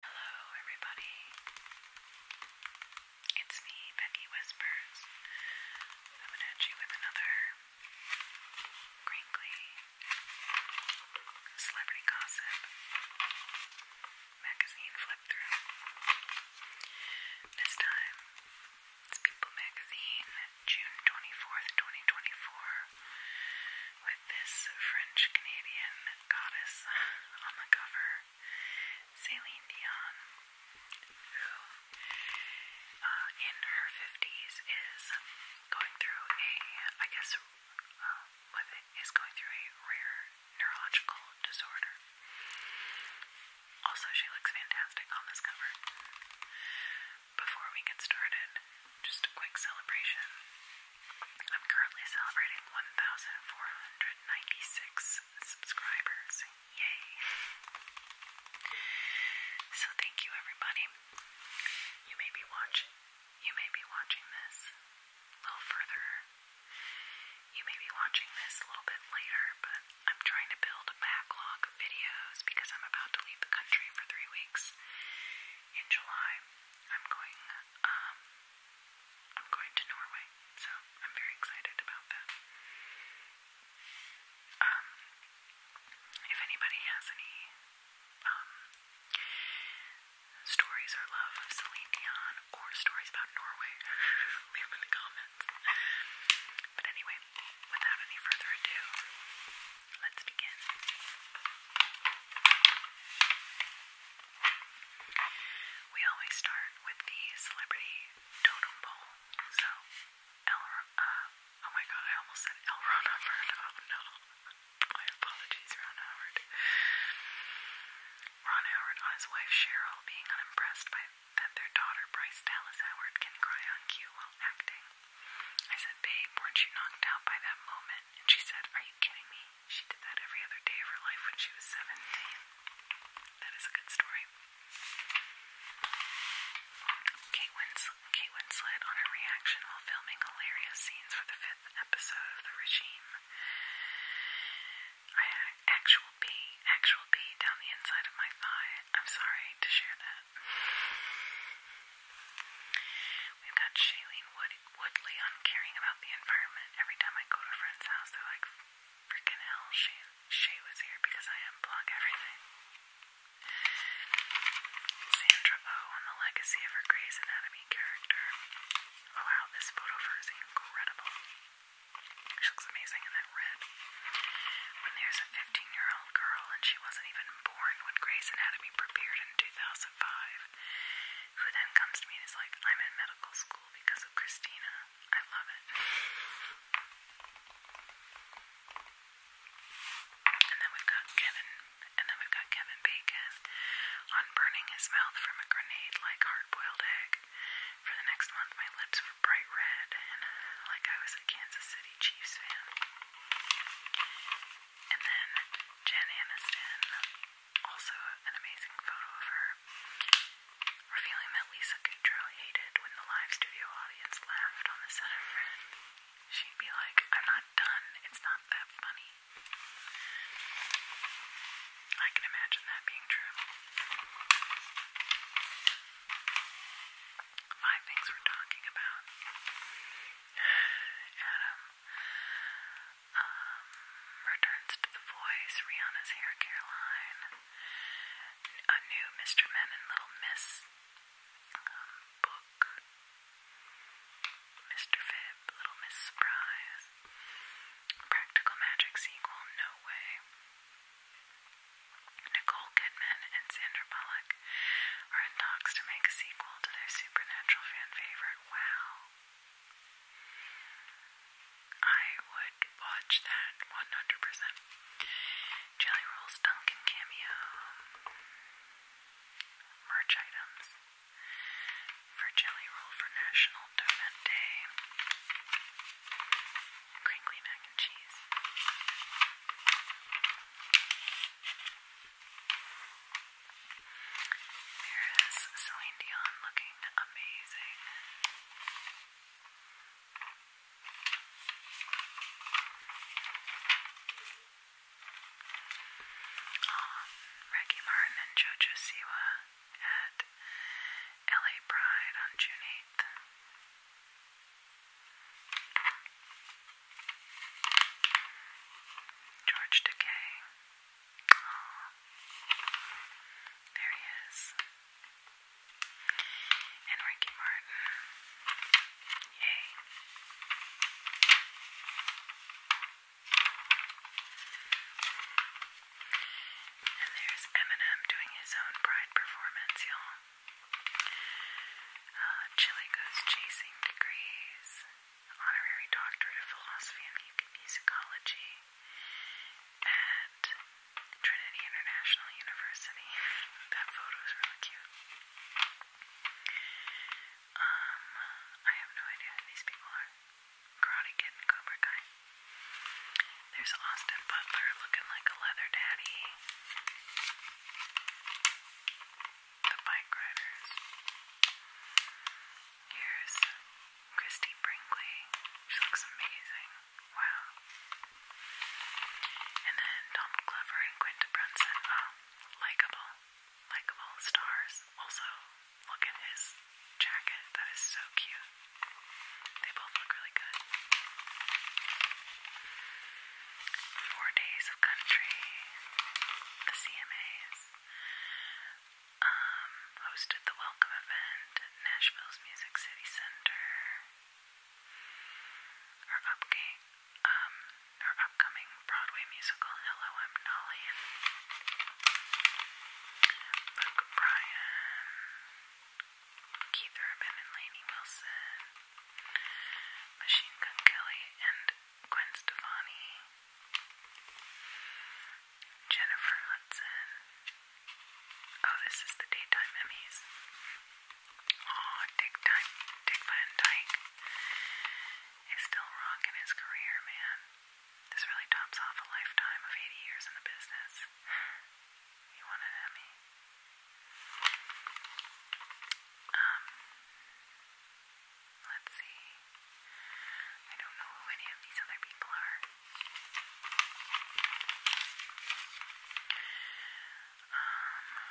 Hello, everybody. It's me, Becky Whispers. Coming at you with another crinkly celebrity gossip magazine flip through. This time, it's People Magazine, June 24th, 2024, with this French Canadian goddess on the cover, Celine Dion, who uh, in her 50s is going through a, I guess, uh, going through a rare neurological disorder. Also, she looks fantastic on this cover. Before we get started, just a quick celebration I'm currently celebrating 1,496 subscribers. Yay! So thank you, everybody. You may be watching. You may be watching this a little further. You may be watching this a little bit later, but I'm trying to build a backlog of videos because I'm about to leave the country for three weeks in July. I'm going um, I'm going to Norway, so I'm very excited about that. Um, if anybody has any um, stories or love of Celine Dion or stories about Norway, leave them in the comments. But anyway, without any further ado, let's begin. We always start with the celebrity totem pole. So, uh, oh my god, I almost said L. Oh no. apologies, Ron Howard. Ron Howard on his wife Cheryl being unimpressed by that their daughter Bryce Dallas Howard can cry on cue while acting. I said, Babe, weren't you knocked out by that moment? And she said, Are you kidding me? She did that every other day of her life when she was 17. That is a good story. Kate Winslet, on her reaction while filming hilarious scenes for the fifth episode of The Regime. I actual pee, actual pee down the inside of my thigh. I'm sorry to share that. We've got Shailene Woodley on caring about the environment. Every time I go to a friend's house, they're like, freaking hell, Shay, Shay was here because I unplug everything. Sandra O oh on the legacy of her Grey's Anatomy character. Oh wow, this photo of her is incredible. She looks amazing in that red. When there's a 15 year old girl, and she wasn't even born when Grey's Anatomy premiered in 2005, who then comes to me and is like, I'm in medical school because of Christina. I love it. And then we've got Kevin, and then we've got Kevin Bacon on burning his mouth from a grenade-like hard-boiled egg. For the next month, my lips were bright red, and uh, like I was a Kansas City Chiefs fan. And then Jen Aniston also, an amazing photo of her revealing that Lisa Kudrow hated when the live studio audience laughed on the set of Friends. She'd be like, I'm not done, it's not that funny. I can imagine that being true. Five things we're talking about. Adam um, returns to the Voice, Rihanna's Hair Line, a new Mr. Men and Little Miss um, book, Mr. Fib, Little Miss Surprise, Practical Magic sequel, No Way, Nicole Kidman and Sandra Bullock are in talks to make a sequel to their supernatural fan favorite, Wow. I would watch that 100%. Jelly rolls, Dunkin' Cameo, merch items for Jelly Roll for National Donut Day, crinkly mac and cheese. There is Celine Dion looking amazing. Um, Ricky Martin and JoJo Siwa at LA Pride on June 8th. George Decay. There he is. And Ricky Martin. Yay. And there's Eminem doing his own pride performance, y'all. Uh, Chili goes chasing degrees honorary doctorate of philosophy and musicology at Trinity International University. that photo is really cute. Um, I have no idea who these people are. Karate Kid and Cobra Kai. There's Austin Butler looking like a leather daddy. The bike riders. Here's Christy Brinkley. She looks amazing. Wow. And then Donald Glover and Quinta Brunson. Oh, likable. Likeable stars. Also, look at his jacket. That is so cute. They both look really good. Four Days of Country. The CMAs. Um, hosted the welcome event at Nashville's Music City Center. Her, um, upcoming Broadway musical, Hello, I'm Nolly. Keith Urban and Lainey Wilson, Machine Gun Kelly, and Gwen Stefani. Jennifer Hudson. Oh, this is the daytime Emmys. Oh, Dick Van Dyke is still rocking his career, man. This really tops off a lifetime of 80 years in the business. You want an Emmy? Um, Let's see. I don't know who any of these other people are. Um,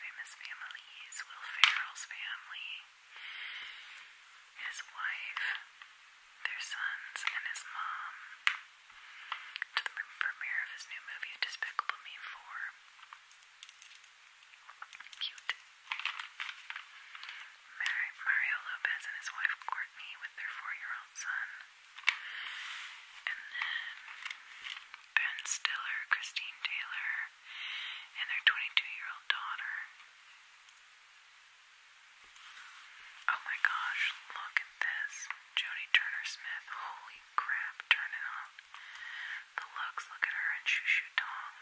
famous families. Will Ferrell's family. His wife. Their sons and his mom. To the premiere of his new movie, Despicable Me 4. Cute. Mary, Mario Lopez and his wife Courtney with their four-year-old son. And then Ben Stiller, Christine Taylor, and their 22-year-old daughter. Oh my gosh, look at this. Jodie Turner Smith. Holy crap, turn the looks, look at her and Shoo Shoo Dong.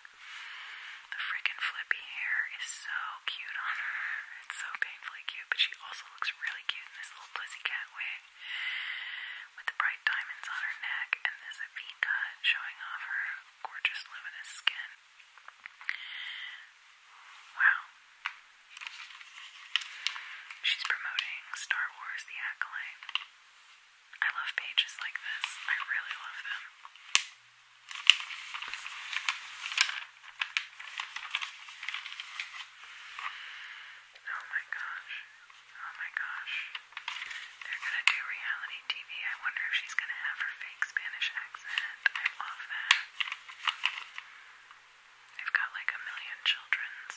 The frickin' flippy hair is so cute on her. It's so painfully cute, but she also looks really cute in this little cat wig with the bright diamonds on her neck and this V cut showing off her gorgeous luminous skin. Wow. She's promoting Star Wars The Acolyte. I love pages like this. I really love them. Oh my gosh. Oh my gosh. They're gonna do reality TV. I wonder if she's gonna have her fake Spanish accent. I love that. They've got like a million children's.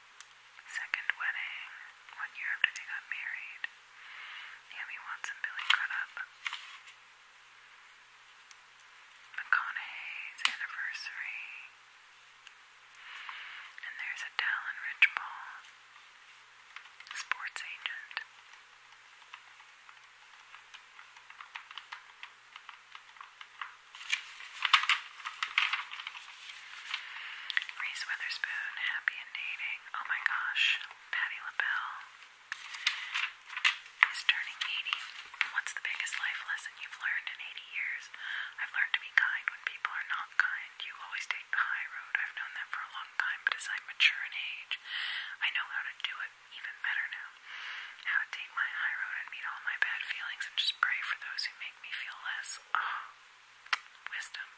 Second wedding, one year after they got married. Naomi Watts Billy got McConaughey's anniversary. And there's a Dallin Richball, sports agent. Reese Witherspoon, Happy and Dating. Oh my gosh, Patti LaBelle is turning 80. What's the biggest life lesson you've learned in 80 years? I've learned to be kind when people are not kind. You always take the high road. I've known that for a long time, but as I mature in age, I know how to do it even better now. How to take my high road and meet all my bad feelings and just pray for those who make me feel less. Oh, wisdom.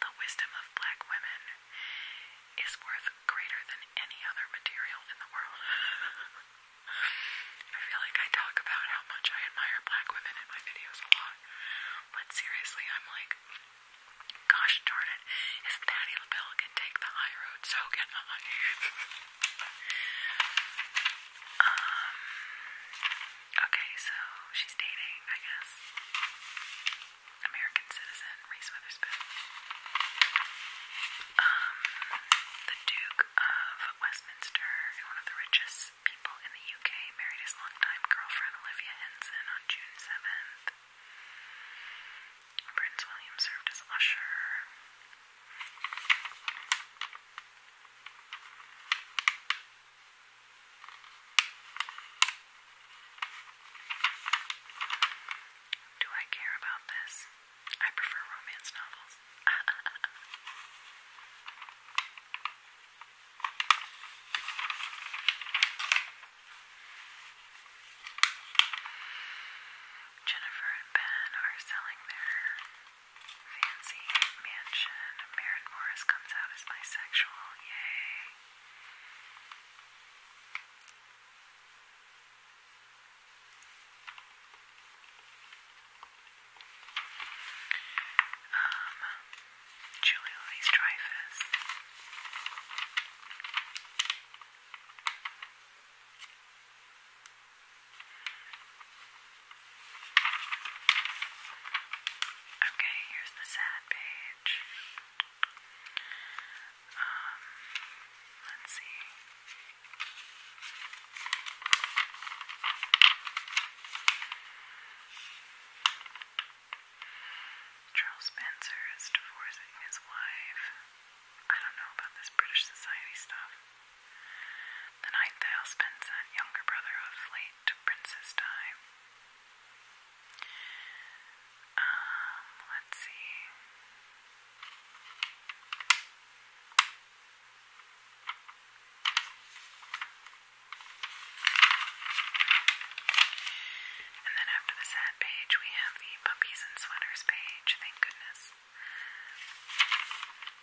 The wisdom of black women is worth greater than any other material in the world. I feel like I talk about how much I admire black women in my videos a lot, but seriously, I'm like, gosh darn it, if Patti LaBelle can take the high road, so can I. um, Okay, so she's dating, I guess. American citizen, Reese Witherspoon. Um, the Duke of Westminster, one of the richest people in the UK, married his longtime girlfriend Olivia Henson on June 7th. Prince William served as usher. Do I care about this? I prefer romance novels. Jennifer and Ben are selling their Fancy Mansion. Maren Morris comes out as bisexual. Yay. Um, Julie Louise Okay, here's the sad page. Um, let's see. Charles Spencer is divorcing his wife. I don't know about this British society stuff. The ninth husband son, younger brother of late Princess Di. Um, let's see. And then after the sad page, we have the puppies and sweaters page. Thank goodness.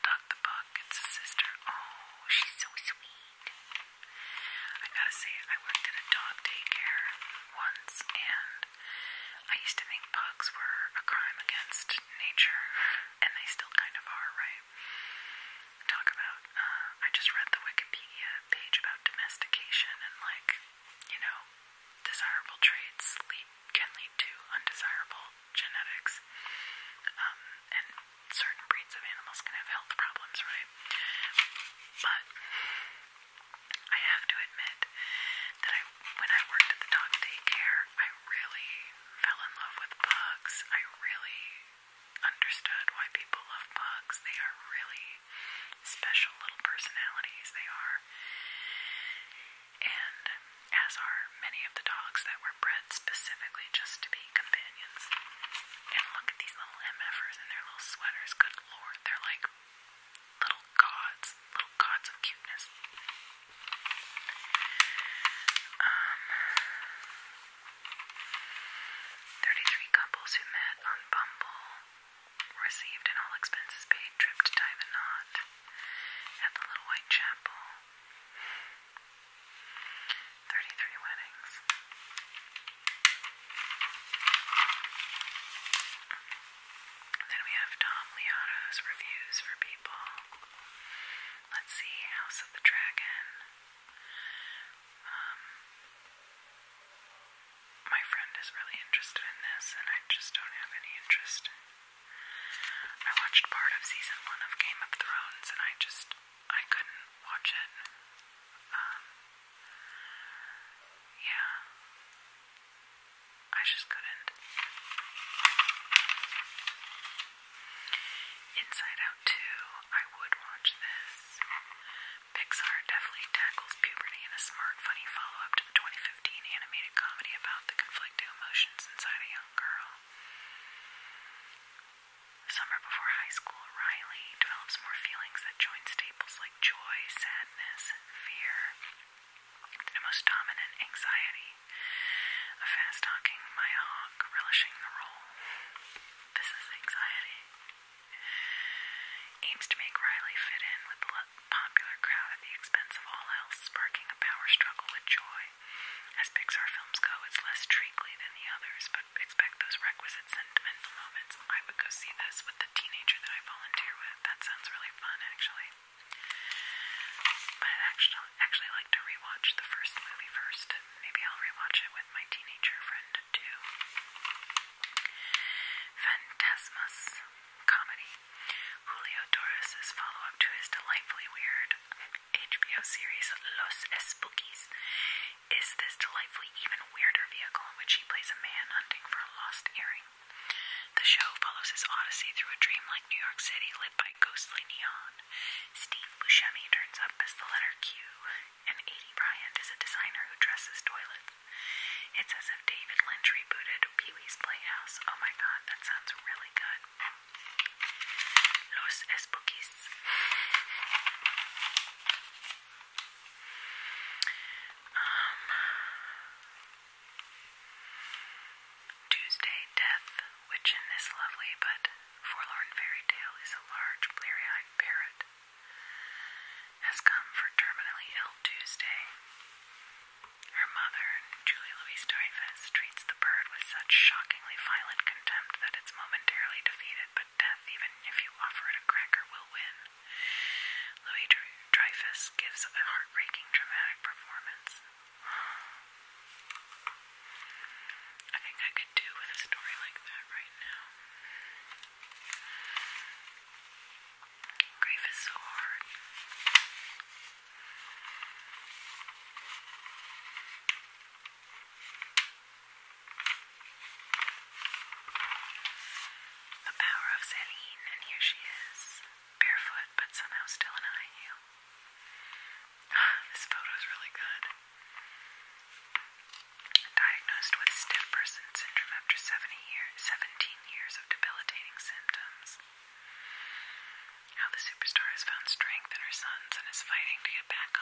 Duck the book. It's a sister. Oh, she's so sweet. I gotta say, I worked at a dog daycare once, and I used to think pugs were a crime against nature, and they still kind of are, right? Talk about, uh, I just read the Wikipedia page about domestication and, like, you know, desirable traits lead, can lead to undesirable genetics. Um, and certain breeds of animals can have health problems, right? But I have to admit that I, when I worked at the dog daycare, I really fell in love with pugs. I really understood why people love pugs. They are really special little personalities. They are. And as are many of the dogs that were bred specifically just to be being companions. And look at these little MFers in their little sweaters. Good lord, they're like little gods, little gods of cuteness. Um, 33 couples who met on Bumble received an all expenses paid trip to Diamond Knot at the Little White Chapel. 33 weddings. Then we have Tom Liotto's reviews for people. Let's see, House of the Dragon. Um, my friend is really interested in this, and I just don't have any interest. I watched part of season one of Game of Thrones, and I just I couldn't watch it. Um, yeah. I just couldn't. Inside Out 2, I would watch this. Pixar definitely tackles puberty in a smart, funny follow up to the 2015 animated comedy about the conflicting emotions inside a young girl. Summer before high school, Riley develops more feelings that join staples like joy, sadness, fear, and the most dominant anxiety. A fast talking Hawk relishing the role. This is anxiety. Aims to make Riley fit in with the popular crowd at the expense of all else, sparking a power struggle with joy. As Pixar films go, it's less treacly than the others, but expect those requisite sentimental moments. I would go see this with the teenager that I volunteer with. That sounds really fun, actually. But I'd actually, actually like to rewatch the first movie first. Maybe I'll rewatch it with my teenager friend, too. Phantasmus Comedy. Julio Torres' follow up to his delightfully weird HBO series Los Espookies is this delightfully even weirder vehicle in which he plays a man hunting for a lost earring. The show follows his odyssey through a dreamlike New York City lit by ghostly neon. Steve Buscemi turns up as the letter Q, and A.D. Bryant is a designer who dresses toilets. It's as if David Lynch rebooted Pee Wee's Playhouse. Oh my god, that sounds really good. Los Spookies. Um, Tuesday Death, which in this lovely but forlorn fairy tale is a large bleary eyed parrot, has come for terminally ill Tuesday. Her mother, Julie Louise Dreyfus, treats the bird with such shocking violent contempt that it's momentarily defeated, but death, even if you offer it a cracker, will win. Louis Dreyfus gives a heartbreaking, dramatic performance. I think I could do with a story like that right now. Grief is so hard. The power of Celine, and here she is, barefoot but somehow still in high heel. this is really good. Diagnosed with stiff person syndrome after 17 years of debilitating symptoms. How the superstar has found strength in her sons and is fighting to get back on.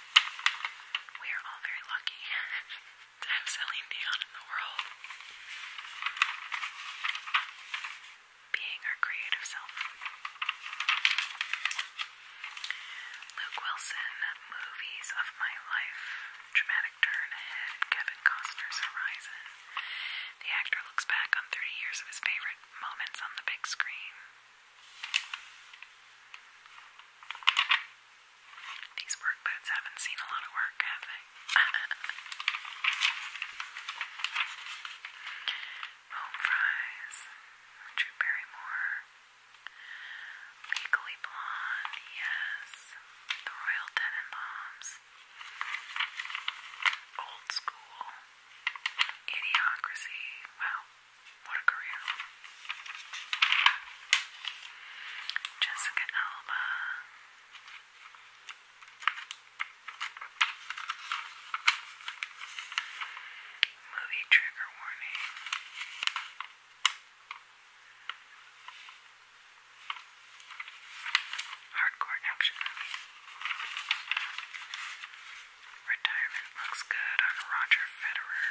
We are all very lucky to have Celine Dion in the world. Being our creative self. Luke Wilson, Movies of My Life, Dramatic Turn Ahead, Kevin Costner's Horizon. The actor looks back on 30 years of his favorite moments on the big screen. These work boots haven't seen a lot of work, have they? Home Fries, Drew Barrymore, Legally Blonde, yes, The Royal Tenenbaums, Old School, Idiocracy, wow. What a career. Jessica Alba. Movie trigger warning. Hardcore action Retirement looks good on Roger Federer.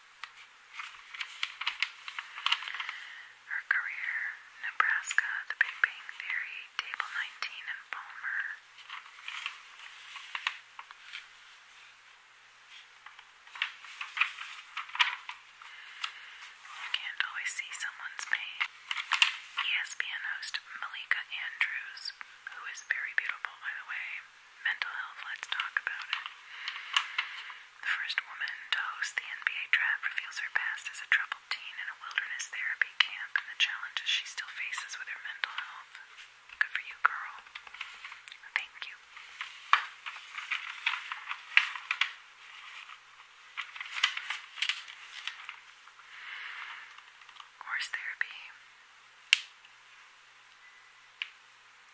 Her career, Nebraska, The Big Bang Theory, Table 19, and Palmer. You can't always see someone's pain. ESPN host Malika Andrews, who is very beautiful, by the way, mental health, let's talk about it. The first woman to host the NBA draft reveals her past as a troubled teen in a wilderness therapy camp and the challenges she still faces with her mental health. Good for you, girl. Thank you. Horse therapy.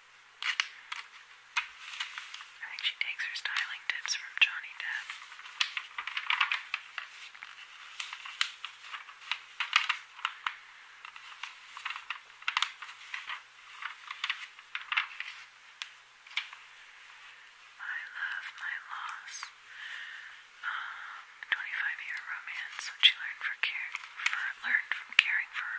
I think she takes her styling tips from Johnny Depp. My love, my loss. Um, 25 year romance, what she learned for care for learned from caring for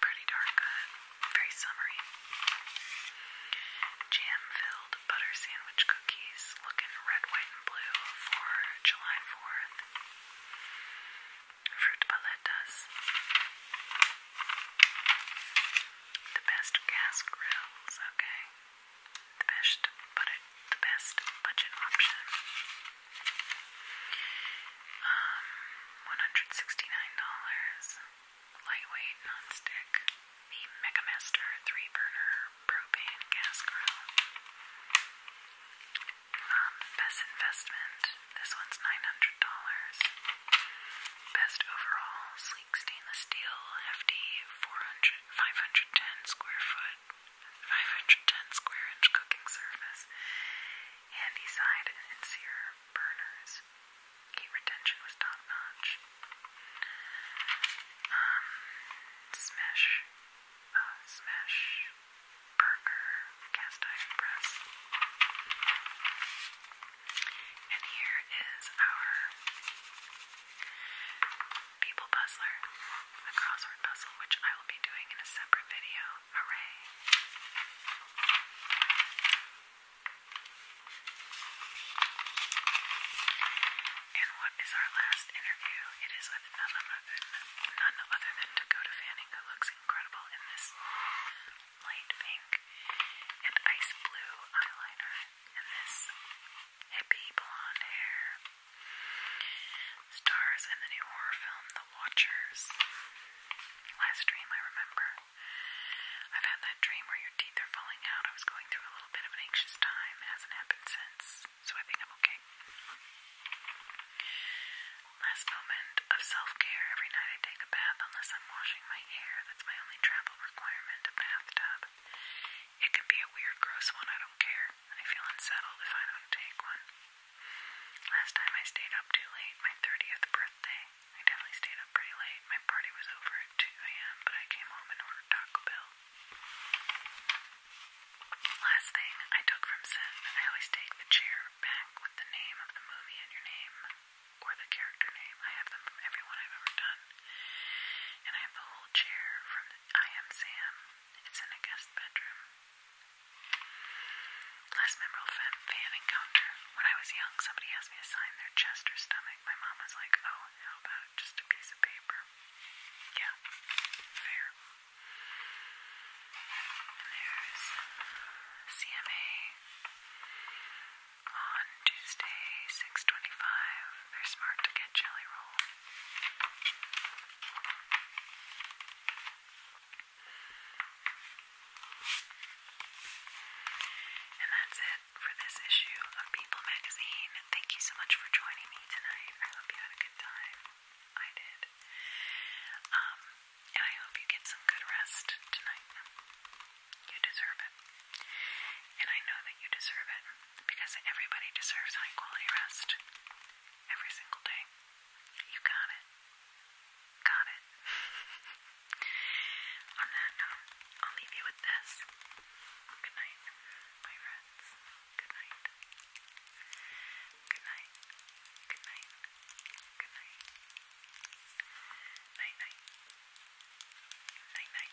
pretty darn good. Very summery. Jam-filled butter sandwich cookies looking red, white, and blue for July 4th. Fruit paletas. The best gas grills, okay. The best, but the best budget option. Um, $169. Lightweight, non-stick. The Megamaster 3-burner propane gas grill. Um, best investment. This one's $900. Best overall. Sleek stainless steel. Hefty 400, square foot. 510 square inch cooking surface Handy side and Sear burners. Heat retention was top notch. Um, Smash, uh, Smash Burger cast iron press. And here is our people puzzler, the crossword puzzle, which I will be doing in a separate video. Hooray. And what is our last interview? It is with none other than, none other than Dakota Fanning, who looks incredible in this light pink and ice blue eyeliner and this hippie blonde hair stars in the new horror film The Watchers. Last dream I remember. I've had that dream where your teeth are falling out. I was going through a little bit of an anxious time. It hasn't happened since, so I think I'm okay. Last moment of self-care. Every night I take a bath unless I'm washing my hair. That's my only travel requirement, a bathtub. It could be a weird, gross one. I don't care. I feel unsettled if I don't take one. Last time I stayed up too late, my 30th birthday. I definitely stayed up pretty late. My party was over at 2 a.m., but I came home and ordered Taco Bell. Last thing I took from Sin, I always take the chair back with the name of the movie and your name or the character name. I have them from everyone I've ever done. And I have the whole chair from the I Am Sam. It's in a guest bedroom. Last memorable fan encounter. When I was young, somebody asked me to sign their chest or stomach. My mom was like, oh, how about just a piece of paper? Yeah, fair. And there's CMA on Tuesday, 625. They're smart to get jelly roll. And that's it for this issue of People Magazine. Thank you so much for joining me tonight. I hope you had a good time. I did. Um, and I hope you get some good rest tonight. You deserve it. And I know that you deserve it because everybody deserves high quality rest every single day. You got it. Got it. On that note, I'll leave you with this. Good night, my friends. Good night. Good night. Good night. Good night. Night night. Night night.